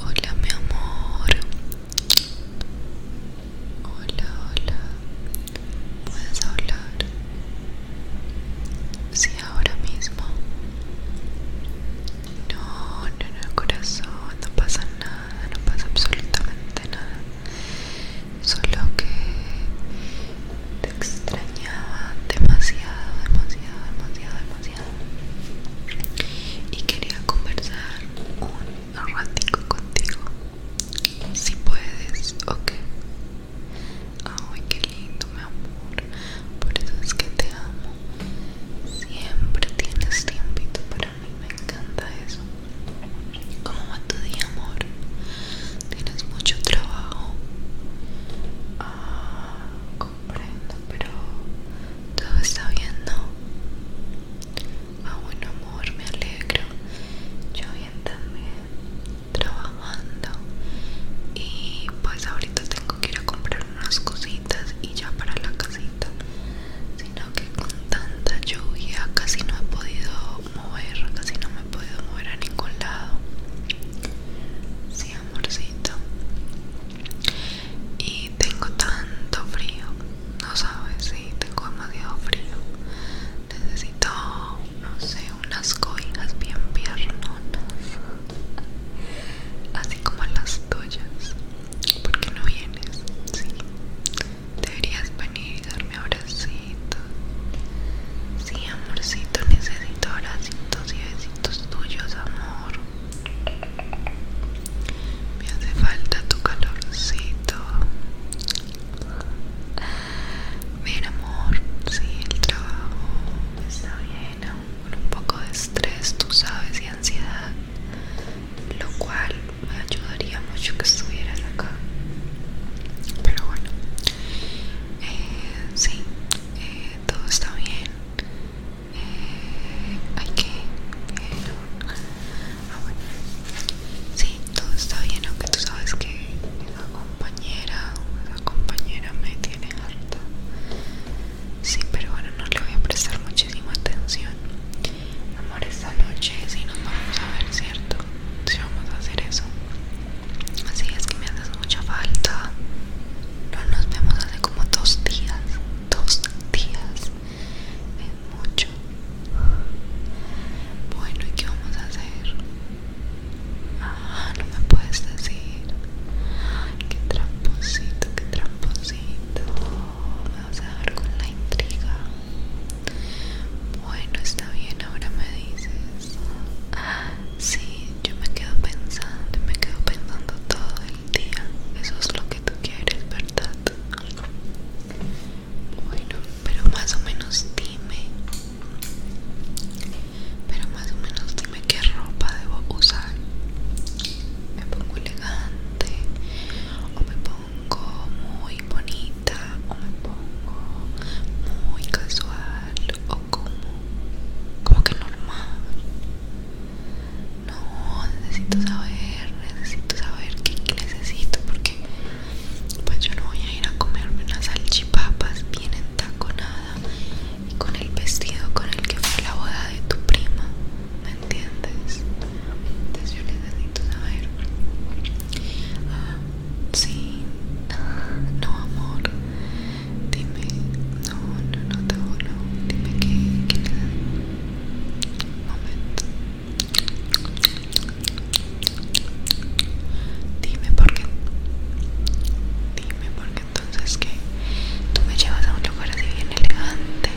Hola mi amor. Hola, hola. ¿Puedes hablar? Sí, ahora mismo. No, no, no, corazón. No pasa nada, no pasa absolutamente nada. Solo que te extrañaba demasiado, demasiado, demasiado, demasiado y quería conversar un ratico contigo. Si puedes, ok. Ay, qué lindo, mi amor. Por eso es que te amo. Siempre tienes tiempito para mí. Me encanta eso. ¿Cómo va tu día, amor? ¿Tienes mucho trabajo? Ah, comprendo, pero todo está bien, ¿no? a amor, me alegro. Yo bien también, trabajando. Y pues ahorita tengo que ir a comprar unas cositas y ya para la casita. Sino que con tanta lluvia casi no he podido mover, casi no me he podido mover a ningún lado. Sí, amorcito. Y tengo tanto frío, no sabes si tengo demasiado frío. Necesito, no sé, unas cobijas bien piernonas, así como las tuyas. ¿Por qué no vienes? Sí, deberías venir y darme abracitos. Sí, amorcito, necesito abracitos y besitos tuyos, amor. Me hace falta tu calorcito. Bien, amor. Sí, el trabajo está bien, aún con un poco de estrés, tú sabes, y ansiedad. Lo cual me ayudaría mucho que estuvieras acá. Pero bueno, eh, sí, eh, todo está bien. Eh, hay que pero ah sí todo está bien aunque tú sabes que esa compañera esa compañera me tiene harta sí pero bueno no le voy a prestar muchísima atención amor esta noche sí nos vamos a ver cierto si sí, vamos a hacer eso Así es que me haces mucha falta. No nos vemos hace como dos días. Dos días. Es mucho. Bueno, ¿y qué vamos a hacer? Ah, no me puedes decir. qué tramposito, qué tramposito. Me vas a dar con la intriga. Bueno, está bien, ahora me dices. Ah, sí, yo me quedo pensando, me quedo pensando todo el día. Eso es lo que tú quieres, ¿verdad? Bueno, pero más o menos dime. Pero más o menos dime qué ropa debo usar. Me pongo elegante o me pongo muy bonita o me pongo muy casual o como como que normal no necesito saber necesito saber qué necesito porque pues yo no voy a ir a comerme unas salchipapas bien entaconada y con el vestido con el que fue la boda de tu prima ¿me entiendes? entonces yo necesito saber ah, Sí, no amor, dime, no, no, no, te bueno, dime que, que Momento. Dime por qué, dime por qué entonces que tú me llevas a un lugar así bien elegante,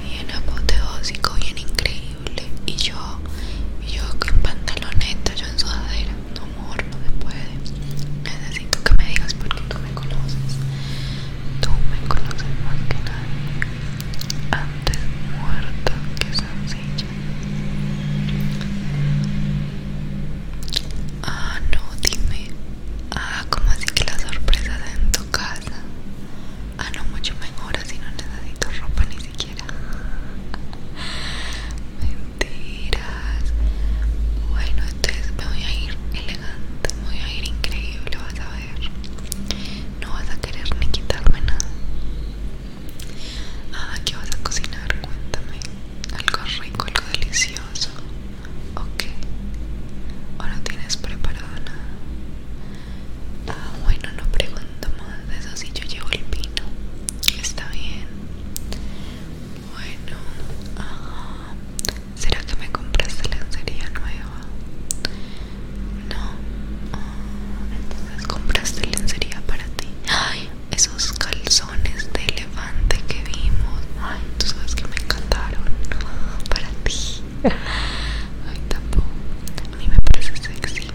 bien apoteósico, bien increíble y yo, y yo con pantaloneta, yo en sudadera no amor, no se puede. Necesito que me digas porque tú me conoces. Tú me conoces más que nadie. Antes muerta que sencilla. Ah, no, dime. Ah, cómo así que la sorpresa de en tu casa. Ah, no, mucho mejor, así no necesito ropa ni Mentiras. Bueno, entonces me voy a ir elegante, me voy a ir increíble, vas a ver. No vas a querer ni quitarme nada. Ah, ¿qué vas a cocinar? Cuéntame. Algo rico, algo delicioso. Ok. ¿O no tienes preparado nada? Ah, bueno, no pregunto más. Eso si yo llevo el vino. Está bien. Bueno, ah, ¿será que me compraste lencería nueva? No. Ah, entonces compraste lencería para ti. Ay, esos calzones de levante que vimos. Ay, tú sabes que me encantaron. Para ti. Ay, tampoco. A mí me parece sexy.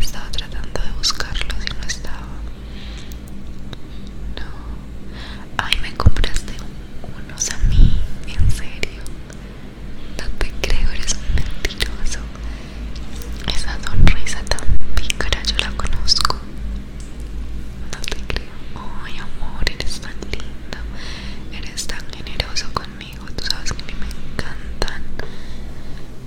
Estaba tratando de buscarlos y no estaba. No. Ay, me compraste unos a mí, en serio. No te creo, eres un mentiroso. Esa sonrisa tan pícara yo la conozco. No te creo. Ay, amor, eres tan lindo. Eres tan generoso conmigo tú sabes que a mí me encantan,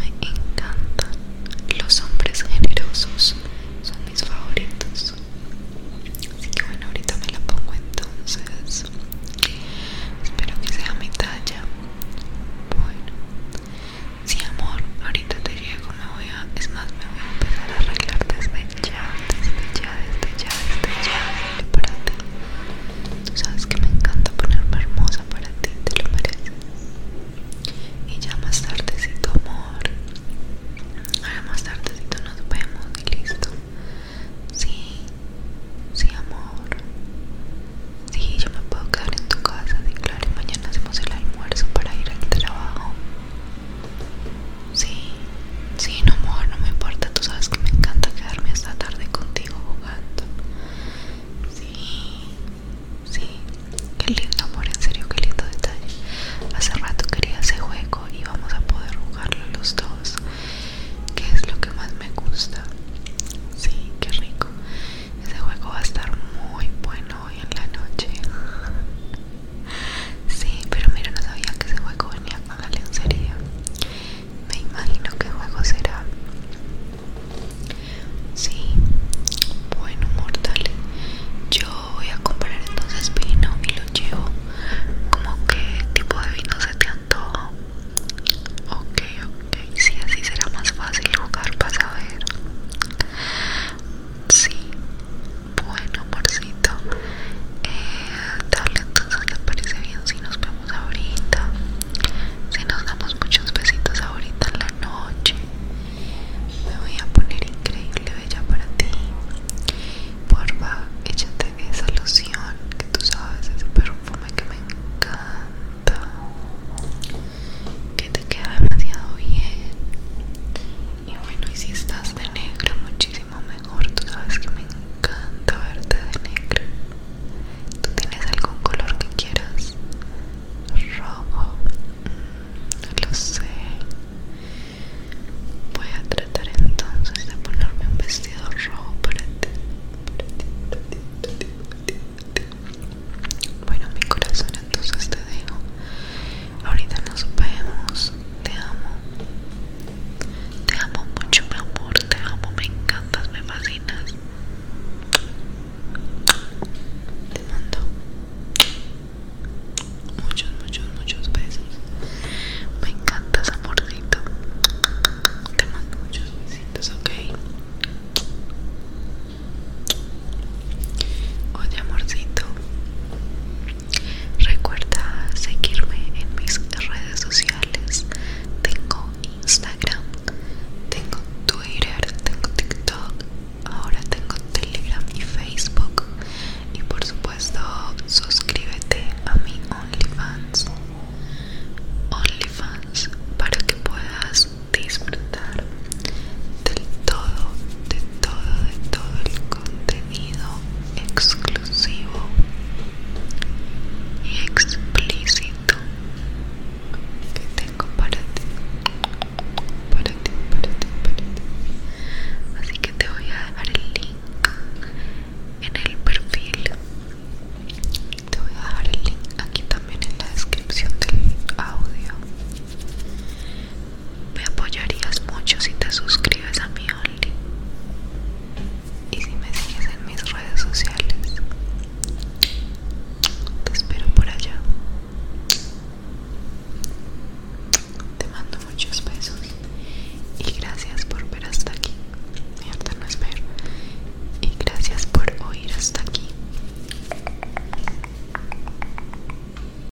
me encantan los hombres generosos, son mis favoritos. Así que bueno, ahorita me la pongo entonces. Espero que sea mi talla. Bueno, sí, amor, ahorita te llego. Me voy a, es más, me voy a empezar a arreglar desde ya, desde ya, desde ya, desde ya. Prepárate. Tú sabes que me encanta ponerme hermosa para ti, te lo mereces. Y ya más tardecito, amor. Ahora más tardecito nos vemos y listo. Sí, sí, amor. Sí, yo me puedo quedar en tu casa, sí, claro. Y mañana hacemos el almuerzo para ir al trabajo. Sí, Sí, no amor, no me importa, tú sabes que me encanta quedarme esta tarde contigo jugando. Sí, sí, qué lindo amor, en serio, qué lindo detalle. Hace rato quería ese juego y vamos a poder jugarlo los dos, que es lo que más me gusta. Sí, qué rico. Ese juego va a estar muy bueno hoy en la noche. Sí, pero mira, no sabía que ese juego venía con la lencería. Me imagino qué juego será. Sí, bueno, mortal. Yo voy a comprar entonces vino y lo llevo. como qué tipo de vino se te antoja? Ok, ok. Sí, así será más fácil jugar para saber. Sí, bueno amorcito eh, dale entonces parece bien si nos vemos ahorita si nos damos muchos besitos ahorita en la noche me voy a poner increíble bella para ti porfa échate esa loción que tú sabes ese perfume que me encanta que te queda demasiado bien y bueno y si estás de negro muchísimo mejor. Tú sabes que me encanta verte de negro. ¿Tú tienes algún color que quieras? Rojo. No mm, lo sé. Voy a tratar entonces de ponerme un vestido rojo para ti. Bueno, mi corazón, entonces te dejo. Ahorita nos vemos. Te amo. Te amo mucho, mi amor. Te amo, me encantas, me fascinas. Te mando muchos, muchos, muchos besos. Me encantas, amorcito. Te mando muchos besitos, ok. Oye, amorcito. Recuerda seguirme en mis redes sociales. Tengo Instagram, tengo Twitter, tengo TikTok, ahora tengo Telegram y Facebook. Y por supuesto, suscríbete a mi OnlyFans. OnlyFans para que puedas disfrutar del todo, de todo, de todo el contenido exclusivo y explícito que tengo para ti para ti para ti para ti así que te voy a dejar el link en el perfil te voy a dejar el link aquí también en la descripción del audio me apoyarías mucho si te suscribes a mi Only y si me sigues en mis redes sociales. Te espero por allá. Te mando muchos besos y gracias por ver hasta aquí. Mierda, no es Y gracias por oír hasta aquí.